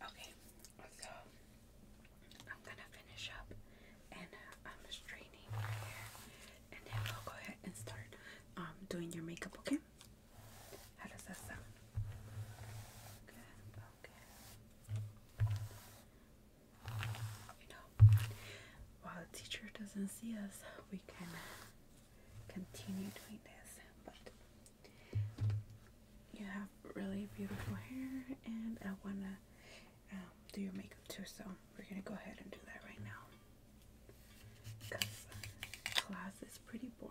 Okay, so I'm gonna finish up and uh, I'm straightening your hair, and then we'll go ahead and start um, doing your makeup. Okay? How does that sound? Okay you know, while the teacher doesn't see us, we can continue doing this. But you have really beautiful hair, and I wanna um, do your makeup too. So we're gonna go ahead and do that right now, cause class is pretty boring.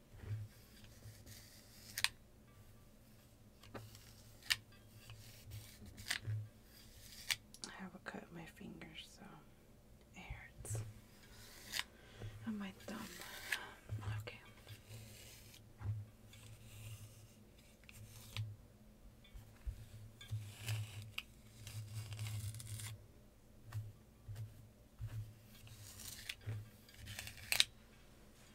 I haven't cut my fingers, so it hurts. And my thumb. Okay.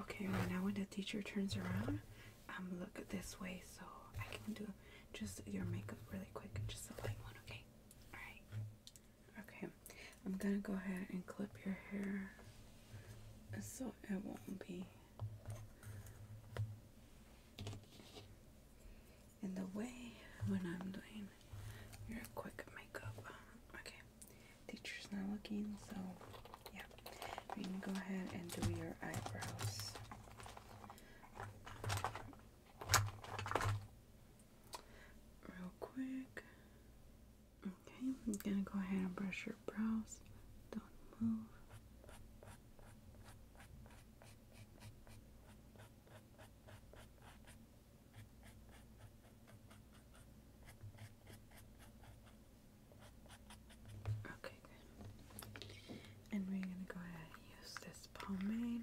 Okay, now when the teacher turns around, I'm um, look this way so I can do just your makeup really quick, just a light one, okay? Alright. Okay, I'm gonna go ahead and clip your hair so it won't be in the way when I'm doing your quick makeup. Okay teacher's not looking, so yeah. We can go ahead and do your eyebrows. Real quick. Okay, I'm gonna go ahead and brush your brows. Don't move. Okay, And we're gonna go ahead and use this pomade.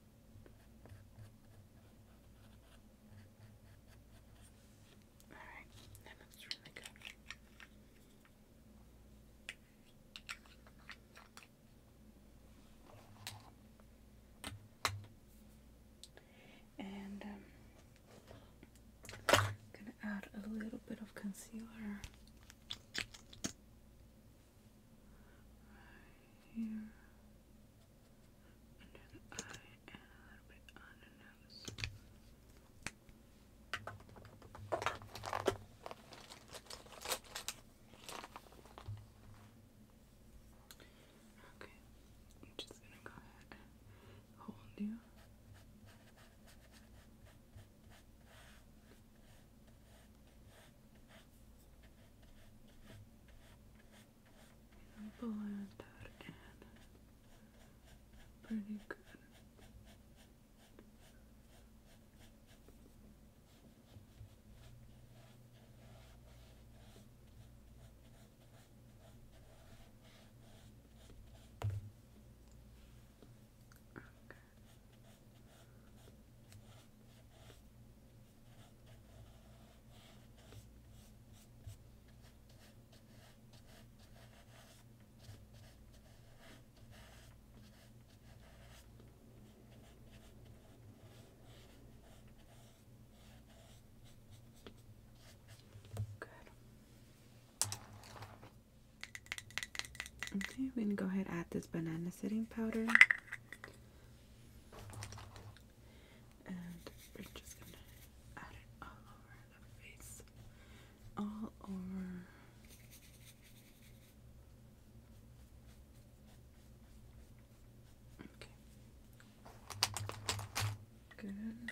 Alright, that looks really good. And I'm um, gonna add a little bit of concealer right here, under the eye, and a little bit on the nose. Okay, I'm just gonna go ahead hold you blend that in pretty good. Okay. Okay, we're going to go ahead and add this banana setting powder. And we're just gonna add it all over the face, all over. Okay. Good.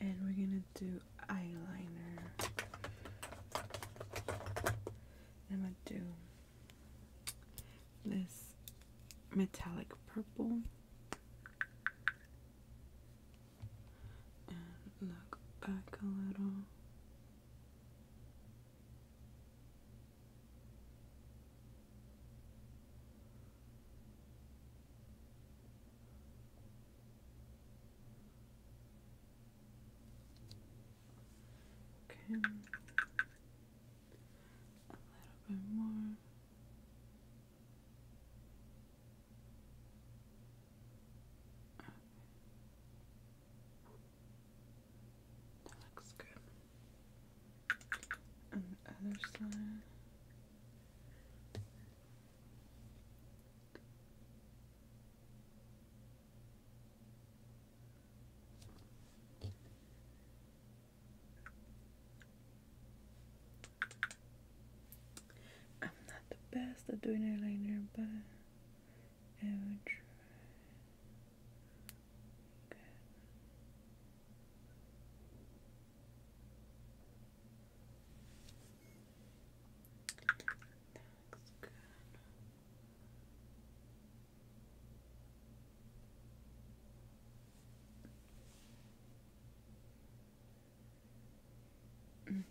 And we're gonna do eyeliner. I'm gonna do this metallic purple. And look back a little. Okay. A little bit more. That looks good. And other side. I'm not the best at doing eyeliner, but I will try. Good.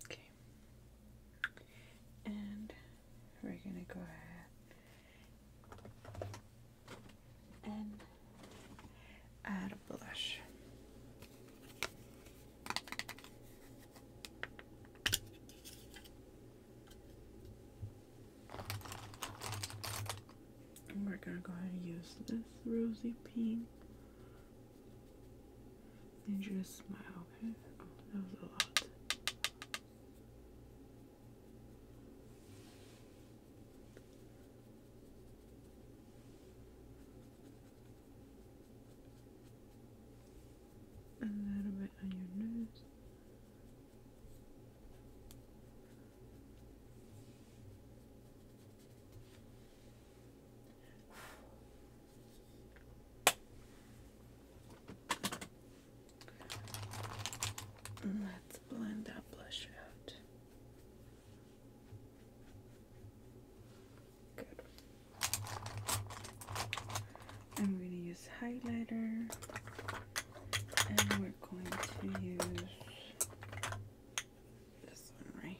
Okay, and we're gonna go ahead and add a blush we're going to go ahead and use this rosy pink. And just smile, okay? Oh, that was a lot a little bit on your nose. Let's blend that blush out. Good. I'm going to use highlighter and we're going to use this one right here.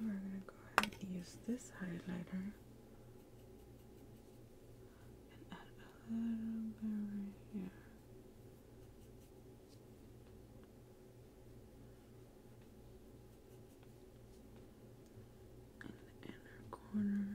we're going to go ahead and use this highlighter and add a little bit right here. In the inner corner.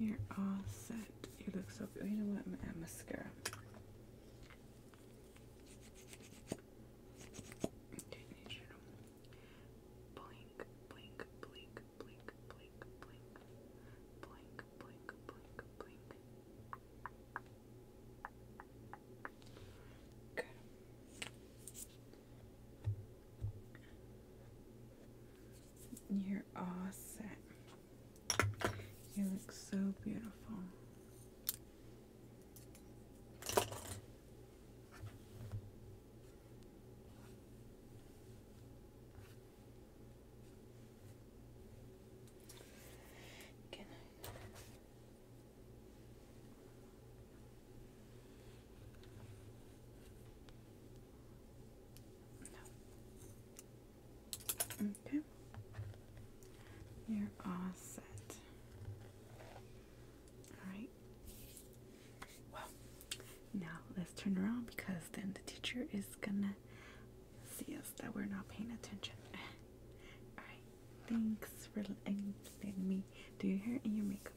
You're all set. You look so good. You know what? I'm going to mascara. Okay, blink, blink, blink, blink, blink, blink, blink, blink, blink, blink. Good. Your you set. You look so beautiful. Can I? Okay. You're all set. Alright. Well, now let's turn around because then the teacher is gonna see us that we're not paying attention. Alright. Thanks for letting me do your hair your makeup.